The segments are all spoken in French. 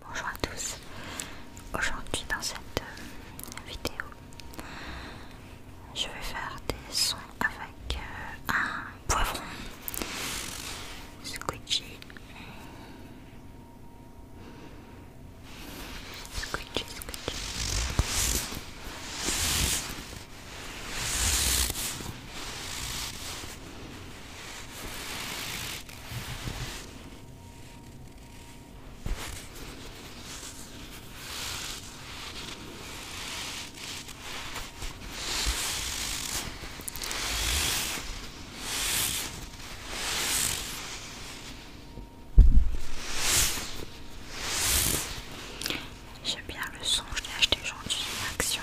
Bonjour à tous, aujourd'hui dans cette euh, vidéo je vais faire des sons avec euh, un poivron squidgy squidgy squidgy J'aime bien le son, je l'ai acheté aujourd'hui, Action.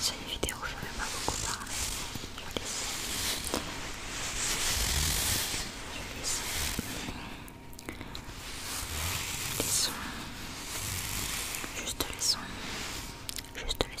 C'est une vidéo je ne vais pas beaucoup parler. Je vais laisser. Je vais Juste les Juste les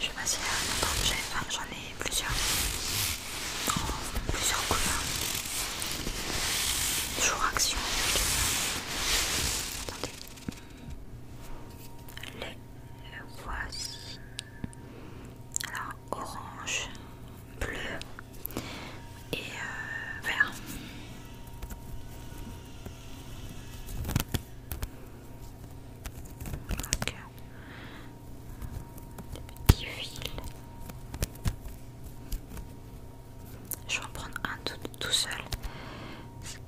Je vais passer à un autre objet, j'en ai plusieurs, oh, plusieurs couleurs, toujours action Attendez. Les voici. Alors, orange, bleu et euh, vert. Donc, des petits fils. Je vais en prendre un tout, seul. Je ne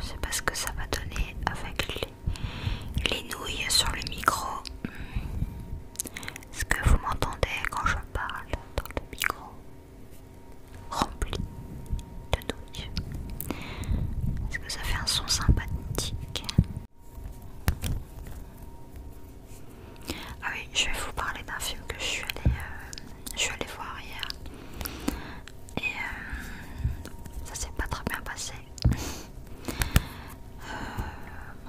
Je sais pas ce que ça va donner avec les nouilles sur le micro. Est-ce que vous m'entendez quand je parle dans le micro rempli de doutes Est-ce que ça fait un son sympathique Ah oui, je vais vous parler d'un film que je suis allée, euh, je suis allée voir hier. Et euh, ça s'est pas très bien passé. Euh,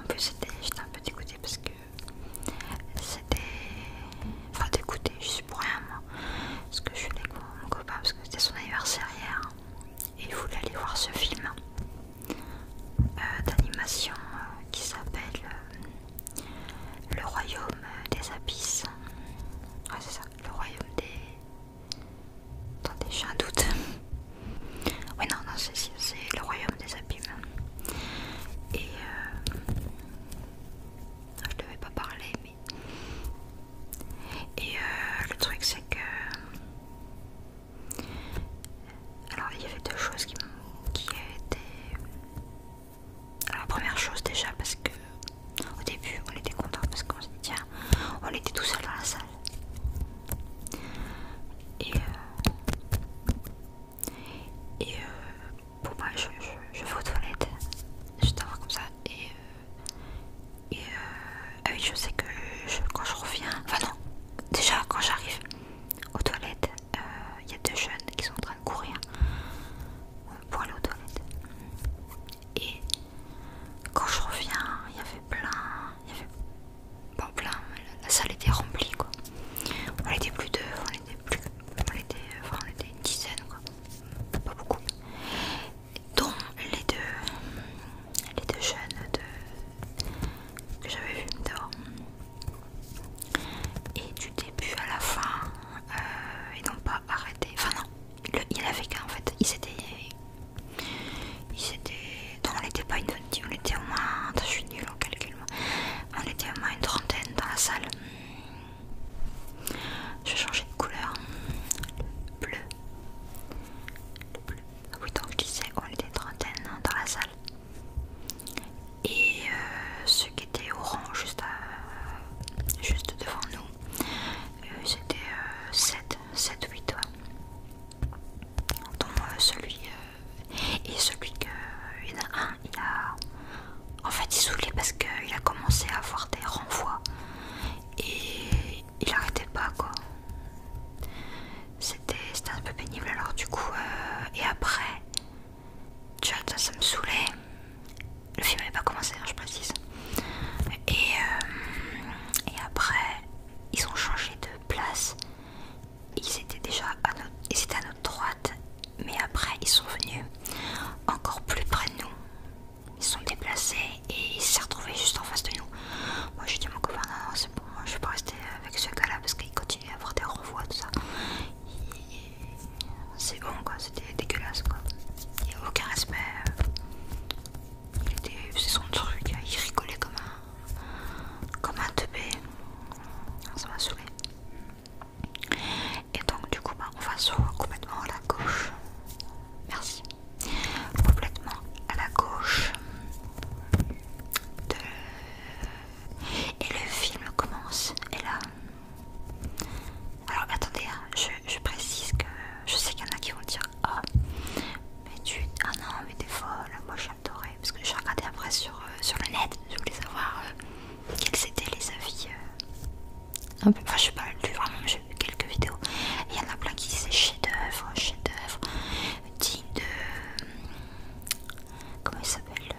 en plus, j'étais un peu dégoûtée parce que c'était. Enfin, d'écouter, je suis pour rien, moi. Parce que je suis avec mon copain, parce que c'était son anniversaire Et il voulait aller voir ce film euh, d'animation euh, qui s'appelle euh, Le Royaume des Abysses. Ouais, c'est ça, le Royaume des. Attendez, j'ai un doute. Oui, non, non, c'est le royaume des abîmes. Et euh, je devais pas parler, mais. Et euh, le truc, c'est que. Alors, il y avait deux choses qui, qui étaient. Alors, la première chose, déjà, parce que au début, on était content parce qu'on se dit, tiens, on était tout seul dans la salle. Et. Euh, et euh, pour moi, je, vais aux toilettes, je t'avoir comme ça et, euh, euh, je sais que quand je reviens, enfin non, déjà quand j'arrive aux toilettes, il y a deux jeunes qui sont en train de courir pour aller aux toilettes. Et quand je reviens, il y avait plein, Bon, plein, la salle était remplie quoi. On était plus de... on était était, enfin, on était une dizaine quoi. Pas beaucoup. Dont les deux. Les deux jeunes de, que j'avais vu dehors. Et du début à la fin, euh, ils n'ont pas arrêté. Enfin non, il avait qu'un en fait. il s'était Ils s'étaient donc on n'était pas une vingtaine, on était au moins, je suis nulle en calcul, on était au moins une trentaine dans la salle. Je vais changer de couleur, bleu. Le bleu. Oui, donc je disais, on était une trentaine dans la salle. Et ce euh, ceux qui étaient orange juste, euh, juste devant nous, euh, c'était sept, 7, 7, 8 entends celui et celui que. a un, il a. En fait, il saoulait parce qu'il a commencé à avoir des renvois et il arrêtait pas quoi. C'était un peu pénible alors, du coup. Euh, et après, tu vois, ça, me saoulait. Le film n'avait pas commencé, hein, je précise. Et, euh, et après, ils ont changé de place ils étaient déjà à notre, droite, mais après ils sont venus encore plus près de nous. Ils sont déplacés et ils s'est retrouvés juste en face de nous. Moi j'ai dit mon copain non, non c'est bon, je vais pas rester avec ce gars là parce qu'il continue à avoir des renvois, tout ça. C'est bon quoi, c'était dégueulasse quoi. Il n'y a aucun respect. C'est son truc, il rigolait comme un comme un teubé. Ça m'a saoulé. Et donc, du coup, bah, on va se voir complètement à la gauche. Merci. Complètement à la gauche. Et le film commence. Et là. Alors, attendez, hein, je, précise que je sais qu'il y en a qui vont dire Ah, mais tu. Ah non, mais t'es folle. Moi, je parce que j'ai regardé après sur, euh, le net, je voulais savoir euh, quels étaient les avis. Euh, un peu, enfin, je sais pas, lu vraiment, j'ai vu quelques vidéos. Il y en a plein qui disaient chef-d'œuvre, chef-d'œuvre, digne de. comment il s'appelle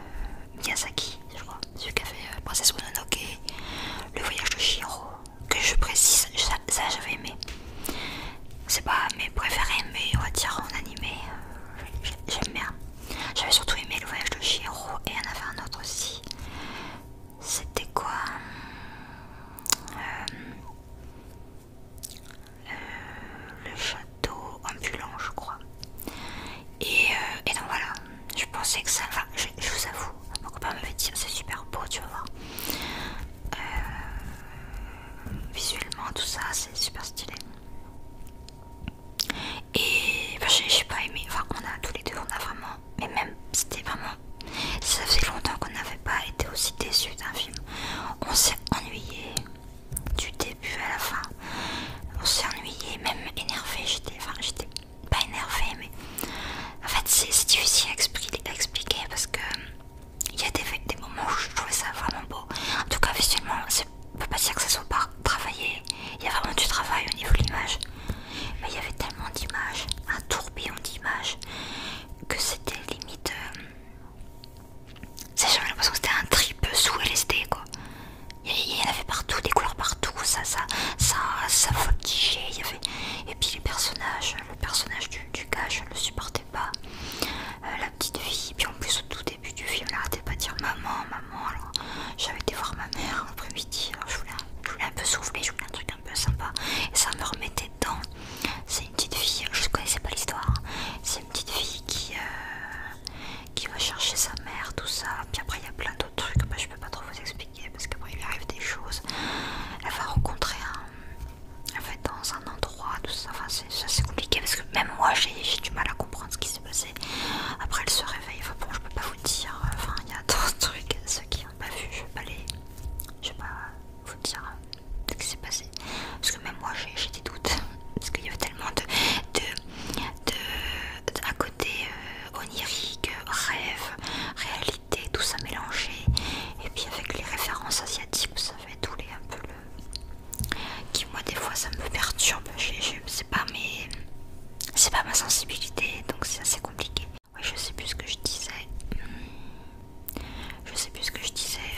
Miyazaki, je crois, celui qui a fait Princesse Mononoke, Le voyage de Shiro, que je précise, ça j'avais aimé. C'est pas mes préférés, mais on va dire en animé, euh, j'aime bien. J'avais surtout aimé le voyage de Shiro et en avait un autre aussi. C'était quoi euh, euh, Le château ambulant, je crois. Et, donc voilà, je pensais que ça. Enfin, je, vous avoue, mon pas me dire c'est super beau, tu vas voir visuellement, tout ça, c'est super stylé. Et enfin, j'ai pas aimé, enfin, on a tous les deux, on a vraiment, mais même c'était vraiment, ça faisait longtemps qu'on n'avait pas été aussi déçus d'un film. On s'est ennuyé du début à la fin, on s'est ennuyé, même énervé. J'étais, enfin, j'étais pas énervé, mais en fait, c'est difficile à expliquer parce que il y a des, moments où je trouvais ça vraiment beau. En tout cas, visuellement, ne peut pas dire que ça soit pas travaillé. Il y a vraiment du travail au niveau de l'image. Mais il y avait tellement d'images, un tourbillon d'images, que c'était limite. c'est euh, J'avais l'impression que c'était un trip sous LSD Il y en avait partout, des couleurs partout, ça, ça, ça, ça avait... Et puis les personnages, le personnage du, gars, je ne le supportais pas. Euh, petite fille. Puis en plus, au tout début du film, elle arrêtait pas de dire maman, maman. Alors j'avais été voir ma mère après midi je voulais, un peu souffler, je voulais un truc un peu sympa. Et ça me remettait dedans. C'est une petite fille, je connaissais pas l'histoire. C'est une petite fille qui, euh, qui va chercher sa mère, tout ça. Puis après, il y a plein d'autres trucs. je peux pas trop vous expliquer parce qu'après, il lui arrive des choses. Elle va rencontrer un en fait dans un endroit, tout ça, c'est compliqué parce que même moi j'ai du mal à comprendre ce qui s'est passé. Après elle se réveille, enfin bon je peux pas vous dire, euh, enfin il y a d'autres trucs, ceux qui n'ont pas vu, je vais Je vais pas vous dire euh, ce qui s'est passé. Parce que même moi j'ai des doutes. Parce qu'il y avait tellement de. de, de, à côté euh, onirique, rêve, réalité, tout ça mélangé. Et puis avec les références asiatiques, vous savez, tous les un peu qui moi des fois ça me perturbe, c'est pas mais c'est pas ma sensibilité donc c'est assez compliqué. ouais je sais plus ce que je disais, je sais plus ce que je disais,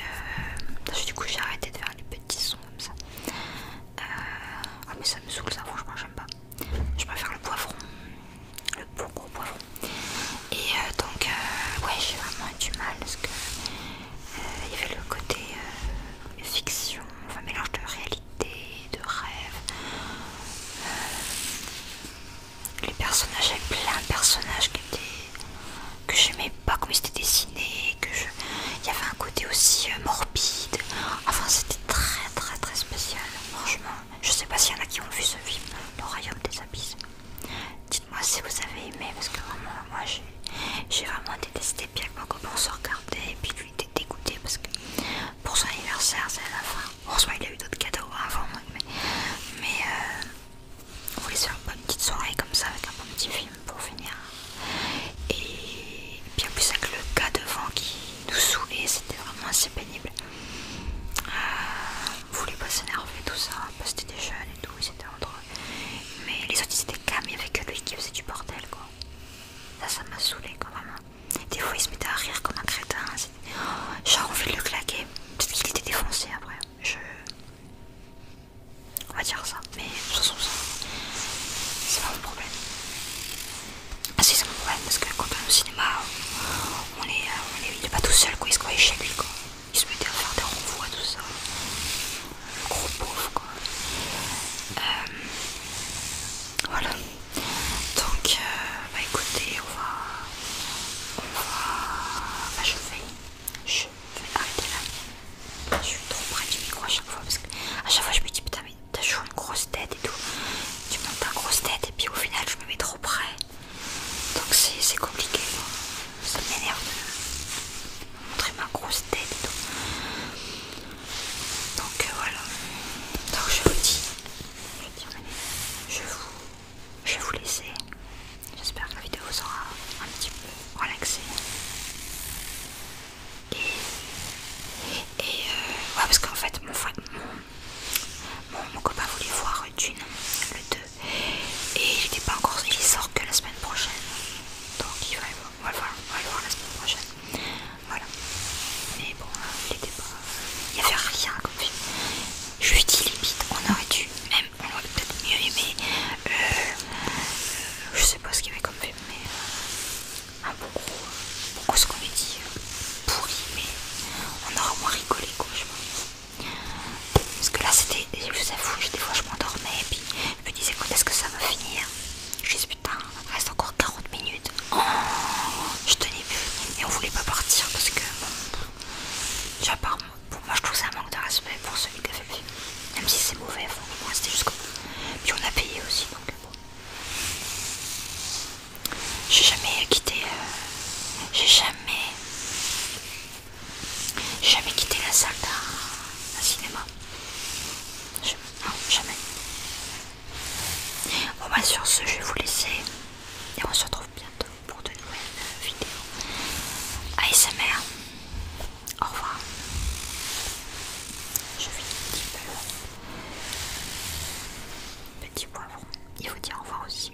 euh, du coup j'ai arrêté de faire les petits sons comme ça. Euh, ah, mais ça me saoule ça franchement j'aime pas, je préfère le poivron, le gros poivron. Et euh, donc ouais j'ai vraiment du mal parce que il y avait le côté euh, fiction, enfin mélange de réalité, de rêve. Euh, les personnages, il y avait plein de personnages qui étaient, que j'aimais pas comme ils étaient dessinés, que il y avait un côté aussi euh, morbide. Enfin c'était très très très spécial, franchement. Je sais pas s'il y en a qui ont vu ce film, le royaume des abysses moi si vous avez aimé parce que vraiment moi j'ai vraiment détesté bien que mon se regardait et puis lui était dégoûté parce que pour son anniversaire c'est la fin. soit il a eu d'autres cadeaux avant mais, mais euh, on voulait faire une bonne petite soirée comme ça avec un bon petit film pour finir. Et, bien puis en plus avec le gars devant qui nous saoulait c'était vraiment assez pénible. on euh, voulait pas s'énerver tout ça parce que c'était des jeunes et tout, c'était entre mais les autres ils étaient calmes, il n'y avait que lui qui faisait du bordel quoi. Ça, ça m'a saoulé quand même. Hein. Des fois il se mettait à rire comme un crétin. Hein. Oh, genre on fait le claquer. Peut-être qu'il était défoncé après. Je... On va dire ça. Mais de toute façon, c'est pas mon problème. Ah si, c'est mon problème parce que quand on est au cinéma, on est, euh, on est, pas tout seul quoi, il se croyait chez lui quoi il se mettait à faire des renvois tout ça. Le gros pauvre quoi. Euh, voilà. Donc euh, bah écoutez, on va. On va. Bah, je vais. Je vais arrêter là. Je suis trop près du micro à chaque fois parce que à chaque fois je me dis putain mais t'as toujours une grosse tête et tout. Tu montes ta grosse tête et puis au final je me mets trop près. Donc c'est compliqué ça m'énerve de montrer ma grosse tête Donc euh, voilà. Donc je vous dis, je vous, je vais vous laisser. J'espère que la vidéo vous aura un petit peu relaxé. Et, euh, ouais, parce qu'en fait, mon, frère mon, mon copain voulait voir Dune le 2 et il pas encore il sort que la semaine prochaine donc il va, on, va le voir, la semaine prochaine voilà mais bon euh, il était pas il n'y avait rien comme film je lui dis limite on aurait dû même on aurait peut-être mieux aimé euh, je sais pas ce qu'il y avait comme fait mais beaucoup un ce qu'on lui dit pourri mais on aura moins rigolé quoi je pense parce que là c'était, je vous avoue, des fois je m'endormais et puis je me disais quand est-ce que ça va finir Je disais putain, il reste encore 40 minutes. je tenais plus et on voulait pas partir parce que bon, pour moi je trouve ça un manque de respect pour celui qui a fait Même si c'est mauvais, moi c'était rester jusqu'au Puis on a payé aussi donc bon. J'ai jamais quitté, euh, j'ai jamais j'ai jamais quitté la salle d'un cinéma. Non, jamais. Bon bah sur ce, je vais vous laisser et on se retrouve bientôt pour de nouvelles vidéos. ASMR. Au revoir. Je fais un petit peu. Euh, petit poivron. Il faut dire au revoir aussi.